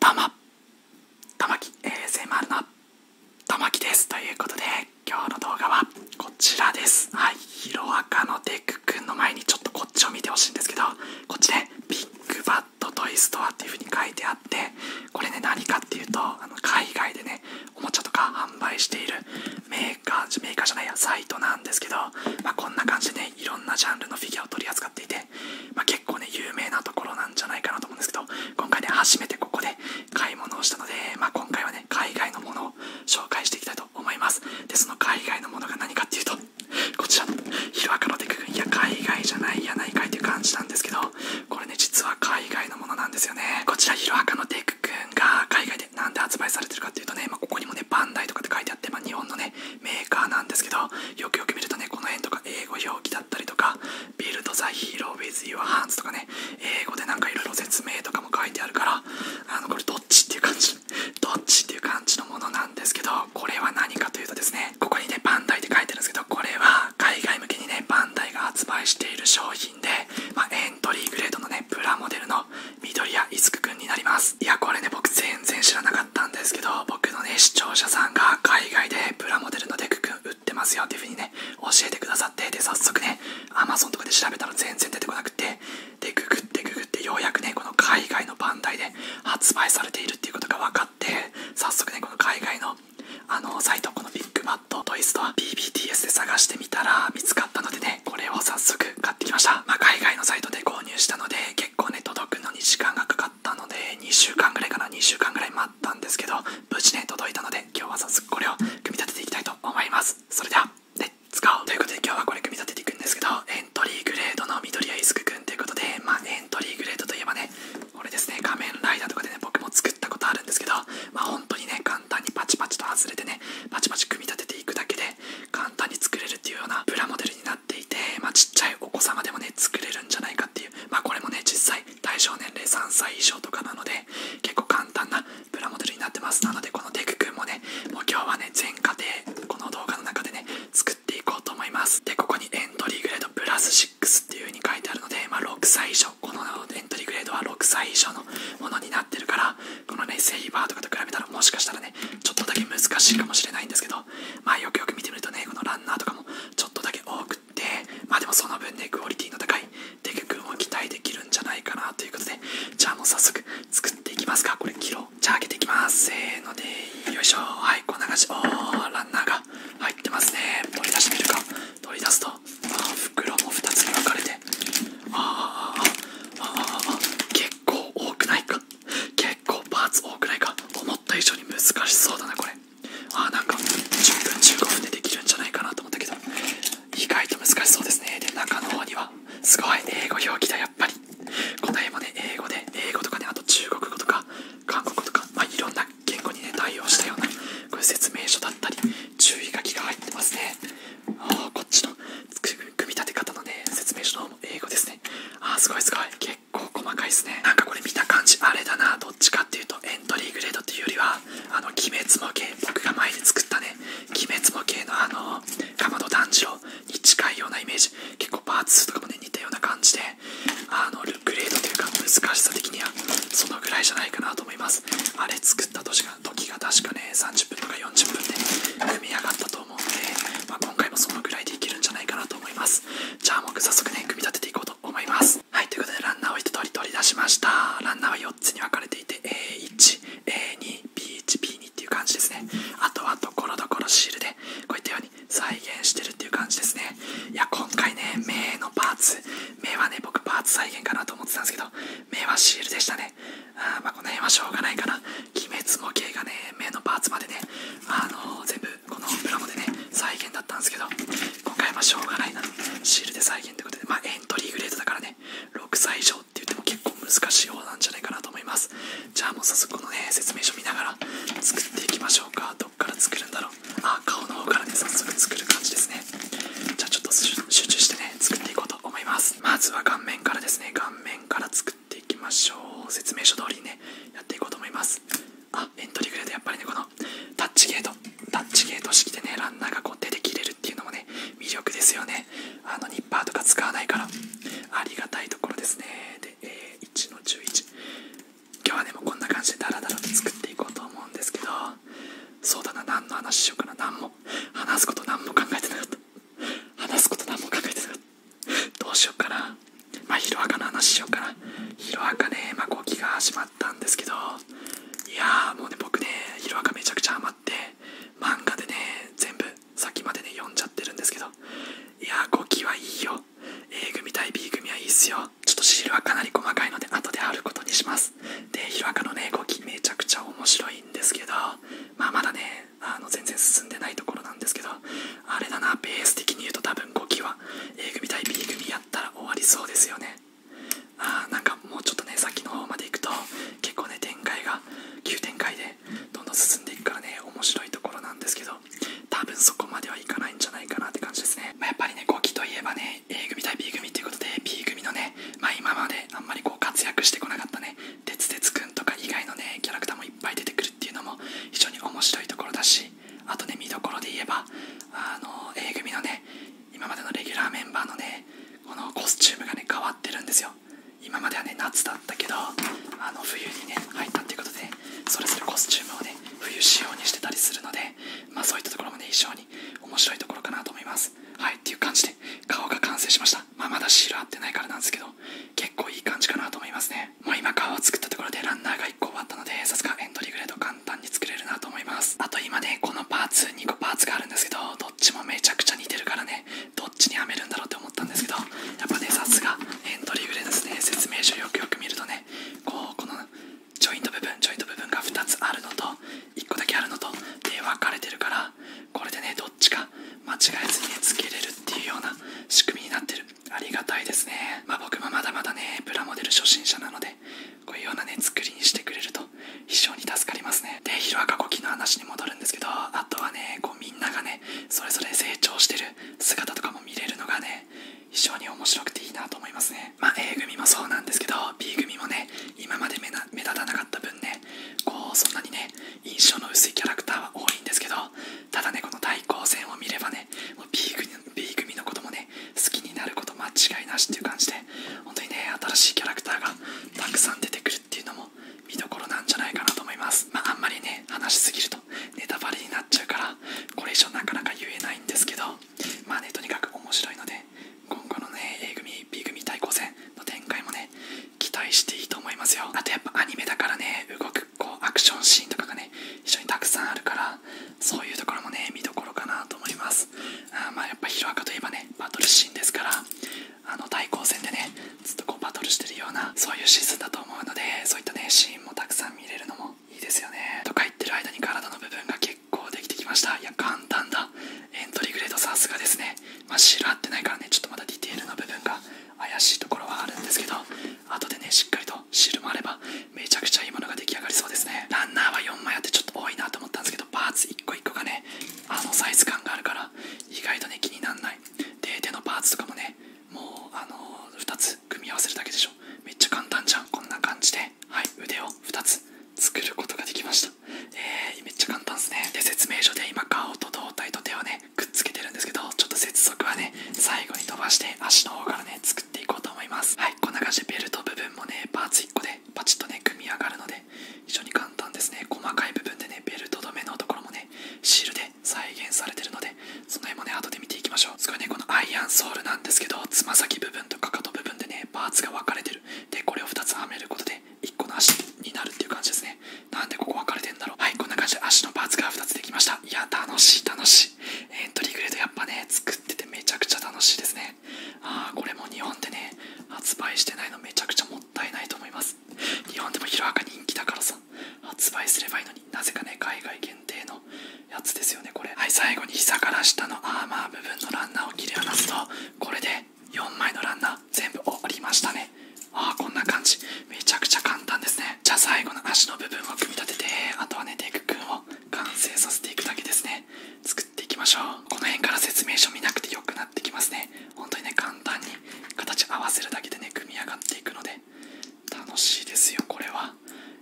たまたまき ASMR のたまきですということで今日の動画はこちらですはいヒロアカのデクんの前にちょっとこっちを見てほしいんですけどこっちでビッグバット。ットイストアっていうふうに書いてあってこれね何かっていうとあの海外でねおもちゃとか販売しているメーカーメーカーじゃないやサイトなんですけど、まあ、こんな感じでねいろんなジャンルのフィギュアを取り扱っていて、ま結構ね有名なところなんじゃないかなと思うんですけど今回ね初めてここで買い物をしたので、まあ、今回はね海外のものを紹介していきたいと思いますでその海外のものが何かっていうとこちらのヒロアカのテク君いや海外じゃないやないかいという感じなんですけどこれね実は海外のものなんですよねこちらヒロアカのテク君が海外で何で発売されてるかっていうとね、まここにもねバンダイとかって書いてあって、ま日本のねメーカーなんですけどよくよく見るとねこの辺とか英語表記だったりとか「ビルド・ザ・ヒーロー・ウィズ・ユア・ハンズ」とかね英語でなんか色々説明とかも書いてあるからあのこれどっちっていう感じどっちっていう感じのものなんですけどこれは何かというとですねここにねバンダイって書いてるんですけどこれは海外向けにねバンダイが発売している商品で、まエントリーグレードのねプラモデルの緑谷樹くくんになりますいやこれね僕全然知らなかったんですけど僕のね視聴者さんが海外でプラモデルのデクくん売ってますよっていう風にね教えてくださってで早速ね Amazon とかで調べたら全然出てこなくってでググってググってようやくねこの海外のバンダイで発売されているっていうことが分かって早速ねこの海外のあのサイトこのビッグマットトイストは BBTS で探してみたら見つかったのでねこれを早速買ってきました、ま海外のサイトで購入したので結構ね届くのに時間がかかったので2週間ぐらいかな2週間ぐらい待ったんですけど無事ね届いたので今日は早速これを組み立てていきたいと思いますそれではレッツゴーということで今日はこれ組み立てていくんですけどエントリーグレードの緑やイスクということで、まエントリーグレードといえばね、これですね、仮面ライダーとかでね、僕も作ったことあるんですけど、ま本当にね、簡単にパチパチと外れてね、パチパチ組み立てていくだけで、簡単に作れるっていうようなプラモデルになっていて、まちっちゃいお子様でもね、作れるんじゃないかっていう、まあ、これもね、実際、対象年齢3歳以上とかなので、結構簡単なプラモデルになってます。なので、このテク君もね、もう今日はね、全家庭、この動画の中でね、作っていこうと思いますでここにエントリーグレードプラス6っていう風に書いてあるので、ま6歳以上このエントリーグレードは6歳以上のものになってるからこのねセイバーとかと比べたらもしかしたらねちょっとだけ難しいかもしれないんですけどまあよくよく見てみるとねこのランナーとかもちょっとだけ多くってまあでもその分ねクオリティの高いデク君を期待できるんじゃないかなということでじゃあもう早速作っていきますかこれキロじゃあ開けていきますせーのでよいしょはいこのな感じおランナーが入ってますね取り出してみるか取り出すとあ袋も2つに分かれてあーあーあーあー結構多くないか結構パーツ多くないか思った以上に難しそうだなこれあーなんか10分15分でできるんじゃないかなと思ったけど意外と難しそうですねで中の方にはすごい英語表記だやっぱりこの辺もね英語で英語とかねあと中国語とか韓国語とか、まあ、いろんな言語にね対応したようなこういう説明書だったり注意書きが入ってますねあこっちの組み立て方のね説明書の方も英語ですねあーすごいすごい結構細かいですねなんかこれ見た感じあれだなどっちかっていうとエントリーグレードっていうよりはあの鬼滅模型僕が前に作ったね鬼滅模型のあのかまど炭治郎に近ようなイメージ結構パーツとかもね似たような感じであのルックレードというか難しさ的にはそのぐらいじゃないかなと思いますあれ作った時が時が確かね30分とか40分で組み上がったと思うので、まあ、今回もそのぐらいでいけるんじゃないかなと思いますじゃあ僕早速ね組み立てていこうと思いますはいということでランナーを一通り取り出しましたランナーは4つに分かれていて A1A2B1B2 っていう感じですねあとはところどころシールでこういったように再現してるっていう感じですねいや今回ね目のパーツ目はね僕パーツ再現かなと思ってたんですけど目はシールでしたねあまあこの辺はしょうがないかな鬼滅模型がね目のパーツまでねあの全部このプラモでね再現だったんですけど今回はしょうがないなシールで再現ってことでまエントリーグレードだからね6歳以上って言っても結構難しい方なんじゃないかなと思いますじゃあもう早速このね説明書見ながら作っていきましょうかどっから作るんだろうあ顔の方からね早速作る感じですねじゃあちょっと集中してね作っていこうと思いますまずは顔面からですね顔面から作っていきましょう説明書通りにねやっていこうと思いますあエントリーグレードやっぱりねこのタッチゲートタッチゲート式でねランナーがこう出てきれるっていうのもね魅力ですよねあのニッパーとか使わないからありがたいところですねで、えー、1の11今日はねもこんな感じでダラダラと作っていこうと思うんですけどそうだな何の話しようかな何も話すこと何も考えてなかった話すこと何も考えてなかったどうしようかなまあヒロアカの話しようかなヒロアカねまあ動が始まったんですけどいやーもうね僕ねヒロアカめちゃくちゃハマって漫画でね全部先までね読んじゃってるんですけどいやーゴキはいいよ A 組対 B 組はいいっすよちょっとシールはかなり細かいので後であることにしますでヒロアカのね5期めちゃくちゃ面白いんですけどままだねあの全然進んでないところなんですけどあれだなベース的に言うと多分5期は A 組対 B 組やったら終わりそうですよねああ、なんかもうちょっとねさっきの方まで行くと結構ね展開が急展開でどんどん進んでいくからね面白いところなんですけどど多分そこまではいかないんじゃないかなって感じですね、まやっぱりね5期といえばね A 組対 B 組っていうことで B 組のね、ま今まであんまりこう活躍してこなかったね鉄鉄くんとか以外のねキャラクターもいっぱい出てくるっていうのも非常に面白いところだしあとね見どころで言えばあの A 組のね今までのレギュラーメンバーのねこのコスチュームがね変わってるんですよ今まではね夏だったけどあの冬にね入ったっていうことで、ね、それぞれコスチュームをね冬仕様にしてたりするのでまあそういったところもね非常に面白いところかなと思いますはいっていう感じで顔が完成しましたまあまだシール貼ってないからなんですけど結構いい感じかなと思いますねもう今顔を作ったところでランナーが1個終わったのでさすがエントリーグレード簡単に作れるなと思いますあと今ねこのパーツ2個パーツがあるんですけどどっちもめちゃくちゃ似てるからねどっちにはめるんだろうって思ったんですけどやっぱねさすがエントリーブレですね説明書よくよく見るとねこうこのジョイント部分ジョイント部分が2つあるのと1個だけあるのとで分かれてるからこれでねどっちか間違えずに、ね、つけれるっていうような仕組みになってるありがたいですねまあ僕もまだまだねプラモデル初心者なのでこういうようなね作りにしてくれると非常に助かりますねでヒロアカコの話に戻るんですけどあとはねこうみんながねそれぞれ成長してる姿とかも見れるのがね非常に面白くていいなと思いますね。ま A 組もそうなんですけど B 組もね今まで目立たなかった分ねこうそんなにね印象の薄いキャラクターは多いんですけどただねこの対抗戦を見ればねもう B, 組 B 組のこともね好きになること間違いなしっていう感じで本当にね新しいキャラクターがたくさん出てくるっていうのも見どころなんじゃないかなと思います。まああんまりね話しすぎるとネタバレになっちゃうからこれ以上なかなか言えないんですけどまあねとにかく面白いので今後のね A 組 B 組対抗戦の展開もね期待していいと思いますよあとやっぱアニメだからね動くこうアクションシーンとかがね非常にたくさんあるからそういうところもね見どころかなと思いますあまあやっぱヒロアカといえばねバトルシーンですからあの対抗戦でねずっとこうバトルしてるようなそういうシーズンだと思うのでそういったねシーンもたくさん見れるのもいいですよねとか言ってる間に体の部分が結構できてきましたいや簡単だエントリーグレードさすがですねまあ白合ってないからねちょっとまだディテールの部分が怪しいところはあるんですけど後でねしっかりとシーもあればめちゃくちゃいいものが出来上がりそうですねランナーは4枚あってちょっと多いなと思ったんですけどパーツ1個1個がねあのサイズ感があるから意外とね気になんないで手のパーツとかもねもうあの2つ組み合わせるだけでしょめっちゃ簡単じゃんこんな感じではい腕を2つ作ることができましたえー、めっちゃ簡単ですねで説明書で今顔と胴体と手をねくっつけてるんですけどちょっと接続はね最後に飛ばして足の方からね作っていこうと思いますはいこんな感じでベルト部分もねパーツ1個でパチッとね組み上がるので非常に簡単ですね細かい部分でねベルト止めのところもねシールで再現されてるのでその辺もね後で見ていきましょうすごねこのアイアンソールなんですけどつま先部分とかかと部分でねパーツが分かれてるでこれを2つ編めることで1個の足になるっていう感じですねなんでここ分かれてんだろうはいこんな感じで足のパーツが2つできましたいや楽しい楽しいエントリーグレードやっぱね作っててめちゃくちゃ楽しいですねああこれも日本でね発売してないのめちゃくちゃもったいないと思います日本でもヒロアカ人気だからさ発売すればいいのになぜかね海外限限定のやつですよねこれはい最後に膝から下のアーマー部分のランナーを切り離すとこれで4枚のランナー全部折りましたねああこんな感じめちゃくちゃ簡単ですねじゃあ最後の足の部分を組み立ててあとはねデくんを完成させていくだけですね作っていきましょうこの辺から説明書見なくてよくなってきますね本当にね簡単に形合わせるだけでね組み上がっていくので楽しいですよこれは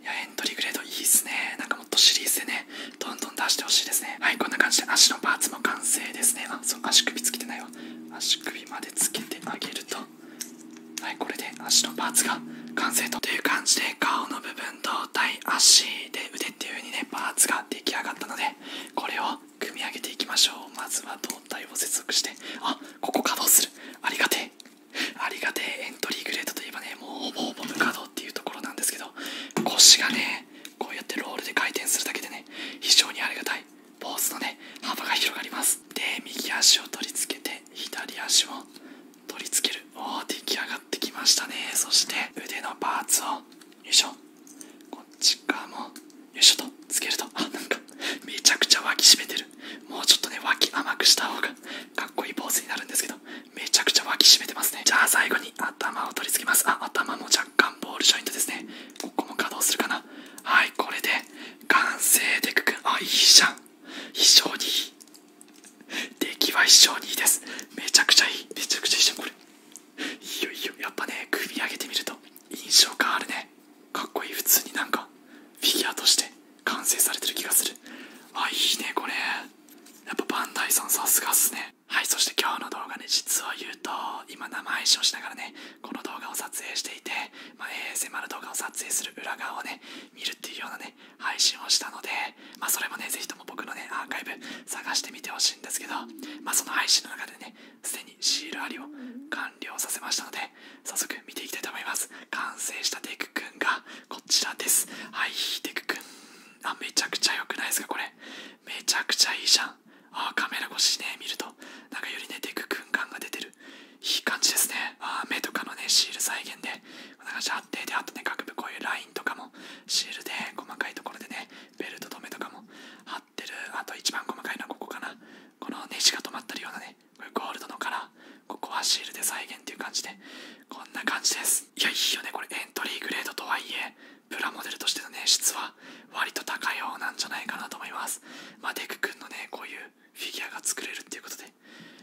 いやエントリーグレードいいっすねなんかもっとシリーズでねどんどん出してほしいですねはいこんな感じで足のパーツも完成ですねあそう足首つけてないわ足首までつけてあげるとはいこれで足のパーツが完成とという感じで顔の部分胴体足で腕っていう風にねパーツが出来上がったのでこれを組み上げていきましょうまずは胴体を接続してあここ稼働するありがてえありがてえエントリーグレードといえばねもうほぼほぼ無稼働っていうところなんですけど腰がねこうやってロールで回転するだけでね非常にありがたいポーズのね幅が広がりますで右足を取り付けて左足を取り付けるおお出来上がってきましたねそして腕のパーツをよいしょこっち側もよいしょとつけるとあなんかめちゃくちゃ脇締めてるもうちょっとね脇甘くした方がかっこいいポーズになるんですけどめちゃくちゃ脇締めてますねじゃあ最後に頭を取り付けますあ頭も若干ボールジョイントですねここも稼働するかなはいこれで完成でくくあいいじゃん非常にいい出来は非常にいいですめちゃくちゃいいめちゃくちゃいいじゃんこれいいよいいよやっぱね組み上げてみると印象変わるねかっこいい普通になんかフィギュアとして完成されてる気がするあいいねこれやっぱバンダイさんさすがっすねはいそして今日の動画ね実を言うと今生配信をしながらねこの動画を撮影していて、まあ、ASMR 動画を撮影する裏側をね見るっていうようなね配信をしたので、まそれもね是非とも僕のねアーカイブ探してみてほしいんですけど、まあ、その配信の中でねすでにシールありを完了させましたので早速見ていきたいと思います完成したデクくんがこちらですはいデクくんあめちゃくちゃ良くないですかこれめちゃくちゃいいじゃんあカメラ越しね見るとなんかよりねデクくん感が出てるいい感じですねあ目とかのねシール再現でこんな感ってであとね各部こういうラインとかもシールで細かいところでねベルト止めとかも貼ってるあと一番細かいのはここかなこのネジが止まったようなねゴールドのカラーここはシールで再現っていう感じでこんな感じですいやいいよねこれエントリーグレードとはいえプラモデルとしてのね質は割と高い方なんじゃないかなと思いますまあデク君のねこういうフィギュアが作れるっていうことで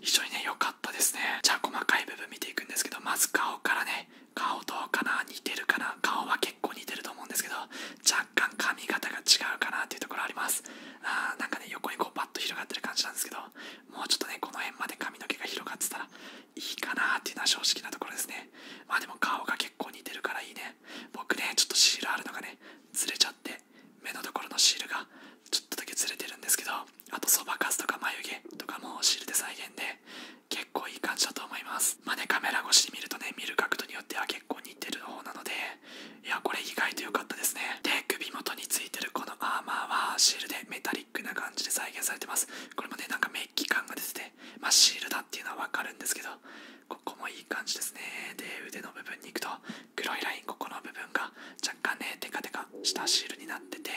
非常にね良かったですねじゃあ細かい部分見ていくんですけどまず顔からね顔どうかな似てるかな顔は結構似てると思うんですけど若干髪型が違うかなっていうところありますあーなんかね横にこうパッと広がってる感じなんですけどもうちょっとね、この辺まで髪の毛が広がってたらいいかなっていうのは正直なところですね。まあでも顔が結構似てるからいいね。僕ね、ちょっとシールあるのがね、ずれちゃって、目のところのシールがちょっとだけずれてるんですけど、あとそばかすとか眉毛とかもシールで再現で、結構いい感じだと思います。まあね、カメラ越しに見るとね、見る角度によっては結構似てる方なので、いやこれ意外と良かったですねで首元についてるこのアーマーはシールでメタリックな感じで再現されてますこれもねなんかメッキ感が出ててまシールだっていうのは分かるんですけどここもいい感じですねで腕の部分に行くと黒いラインここの部分が若干ねテカテカしたシールになってて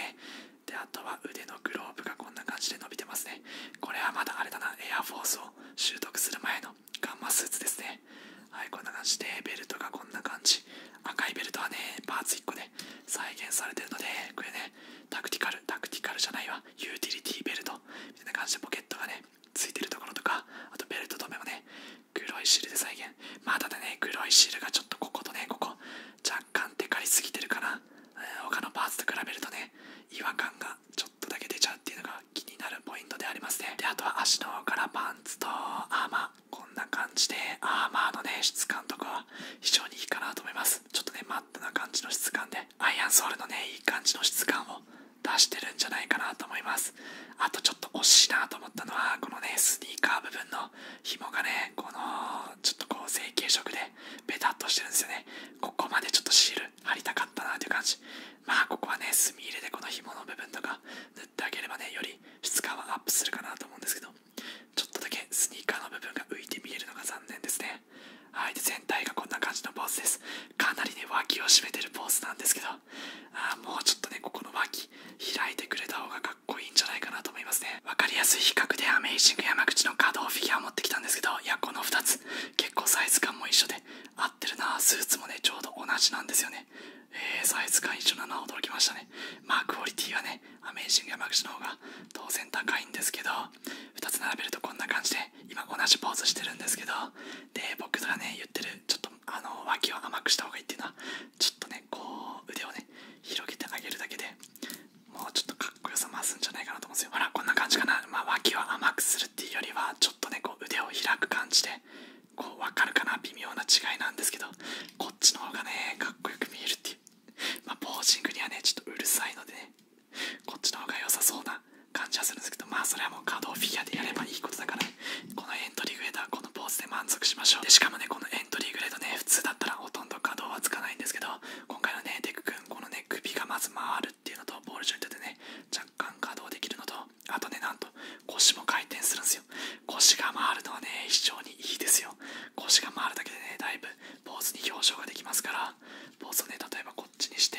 であとは腕のグローブがこんな感じで伸びてますねこれはまだあれだなエアフォースを習得する前のガンマスーツですねはいこんな感じでベルトがこんな感じ赤いベルトはねパーツ1個で再現されてるのでこれねタクティカルタクティカルじゃないわユーティリティベルトみたいな感じでポケットがねついてるところとかあとベルト止めもね黒いシールで再現まあだね黒いシールがちょっとこことねここ若干でかいすぎてるかな他のパーツと比べるとね違和感がちょっとだけ出ちゃうっていうのが気になるポイントでありますねであとは足の方からパンツとアーこんな感じでアーマーのね質感とかは非常にいいかなと思いますちょっとねマットな感じの質感でアイアンソールのねいい感じの質感を出してるんじゃないかなと思いますあとちょっと惜しいなと思ったのはこのねスニーカー部分の紐がねこのちょっとこう成型色でペタッとしてるんですよねここまでちょっとシール貼りたかったなという感じまあここはね墨入れでこの紐の部分とか塗ってあげればねより質感はアップするかなと思うんですけどちょっとだけスニーカーの部分が浮いて見えるのが残念ですねはいで全体がこんな感じのポーズですかなりね脇を締めてるポーズなんですけどあもうちょっとねここの脇開いてくれた方がかっこいいんじゃないかなと思いますね分かりやすい比較でアメイシング山口の稼働フィギュア持ってきたんですけどいやこの2つ結構サイズ感も一緒で合ってるなスーツもねちょうど同じなんですよねえサイズ感一緒なのは驚きましたね。まあクオリティはね、アメージングやマクシの方が当然高いんですけど、2つ並べるとこんな感じで、今同じポーズしてるんですけど、で、僕がね、言ってる、ちょっとあの脇を甘くした方がいいっていうのは、ちょっとね、こう腕をね、広げてあげるだけでもうちょっとかっこよさ増すんじゃないかなと思うんですよ。ほら、こんな感じかな。ま脇を甘くするっていうよりは、ちょっとね、こう腕を開く感じで、こう分かるかな微妙な違いなんですけどこっちの方がねかっこよく見えるっていうまあポージングにはねちょっとうるさいのでねこっちの方が良さそうな感じはするんですけどまあそれはもう可動フィギュアでやればいいことだから、このエントリーグレードはこのポーズで満足しましょうでしかもねこのエントリーグレードね普通だったらほとんど可動はつかないんですけど今回のねデク君このね首がまず回るっていうのとボールジョイントでね若干可動できるのとあとねなんと腰も回転するんですよ腰が回るのはね、非常にいいですよ。腰が回るだけでね、だいぶポーズに表情ができますから、ポーズをね、例えばこっちにして、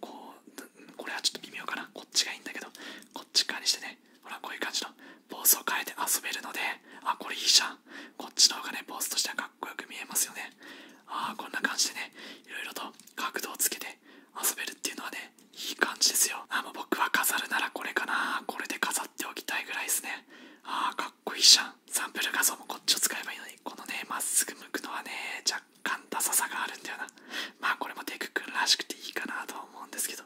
こう、これはちょっと微妙かな。こっちがいいんだけど、こっち側にしてね、ほら、こういう感じのポーズを変えて遊べるので、あ、これいいじゃん。こっちの方がね、ポーズとしてはかっこよく見えますよね。ああ、こんな感じでね、いろいろと角度をつけて遊べるっていうのはね、いい感じですよあもう僕は飾るならこれかなこれで飾っておきたいぐらいですねああ、かっこいいじゃんサンプル画像もこっちを使えばいいのにこのねまっすぐ向くのはね若干ダサさがあるんだよなまあこれもデクんらしくていいかなと思うんですけど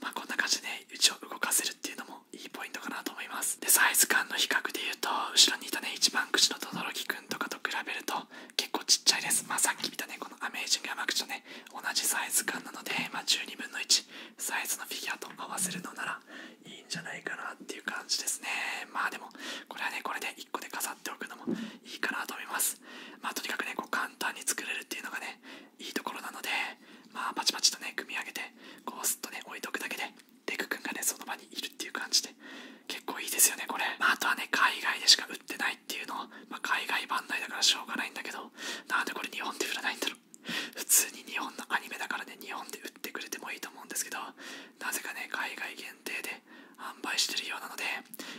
まあこんな感じでねうを動かせるっていうのもいいポイントかなと思いますでサイズ感の比較で言うと後ろにいたね一番口の轟くんとかと比べると結構ちっちゃいですまあさっき見たねこのアメージング山口のね同じサイズ感なので、ま12分の1サイズのフィギュアと合わせるのならいいんじゃないかなっていう感じですねまあでもこれはねこれで1個で飾っておくのもいいかなと思いますまあとにかくねこう簡単に作れるっていうのがねいいところなのでまあパチパチとね組み上げてこうスッとね置いとくだけでデクんがねその場にいるっていう感じで結構いいですよねこれ、あ、とはね海外でしか売ってないっていうのま海外版台だからしょうがないんだけどなんでこれ日本で売らないんだろう普通に日本のアニメだからね日本で売ってくれてもいいと思うんですけどなぜかね海外限定で販売してるようなので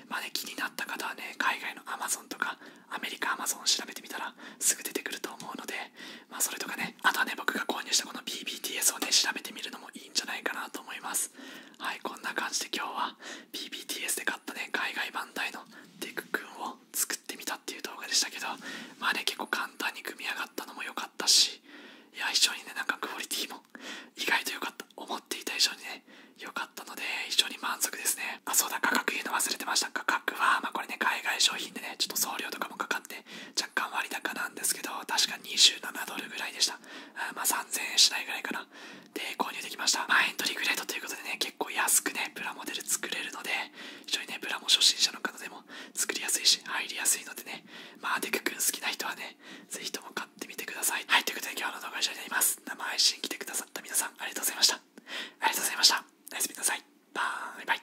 まあ気になった方はね海外の Amazon とかアメリカ Amazon 調べてみたらすぐ出てくると思うのでまそれとかねあとはね僕が購入したこの BBTS をね調べてみるのもいいんじゃないかなと思いますはいこんな感じで今日は BBTS で買ったね海外版台のテク君を作ってみたっていう動画でしたけどまあね結構簡単に組み上がったのも良かったしいや非常にねなんかクオリティも意外と良かった思っていた以上にね良かったので非常に満足ですねあそうだ価格言うの忘れてました価格はまあこれね海外商品でねちょっと送料とかもかかって若干割高なんですけど確か27ドルぐらいでしたあまあ3000円しないぐらいかなで購入できましたまあエントリーグレードということでね結構安くねプラモデル作れるので非常にねプラモ初心者の方でも作りやすいし入りやすいのでねまあデク君好きな人はね是非とも買ってみてくださいはいということで今日の動画は以上になります生配信来てくださった皆さんありがとうございましたありがとうございましたおやすみなさいバイバイ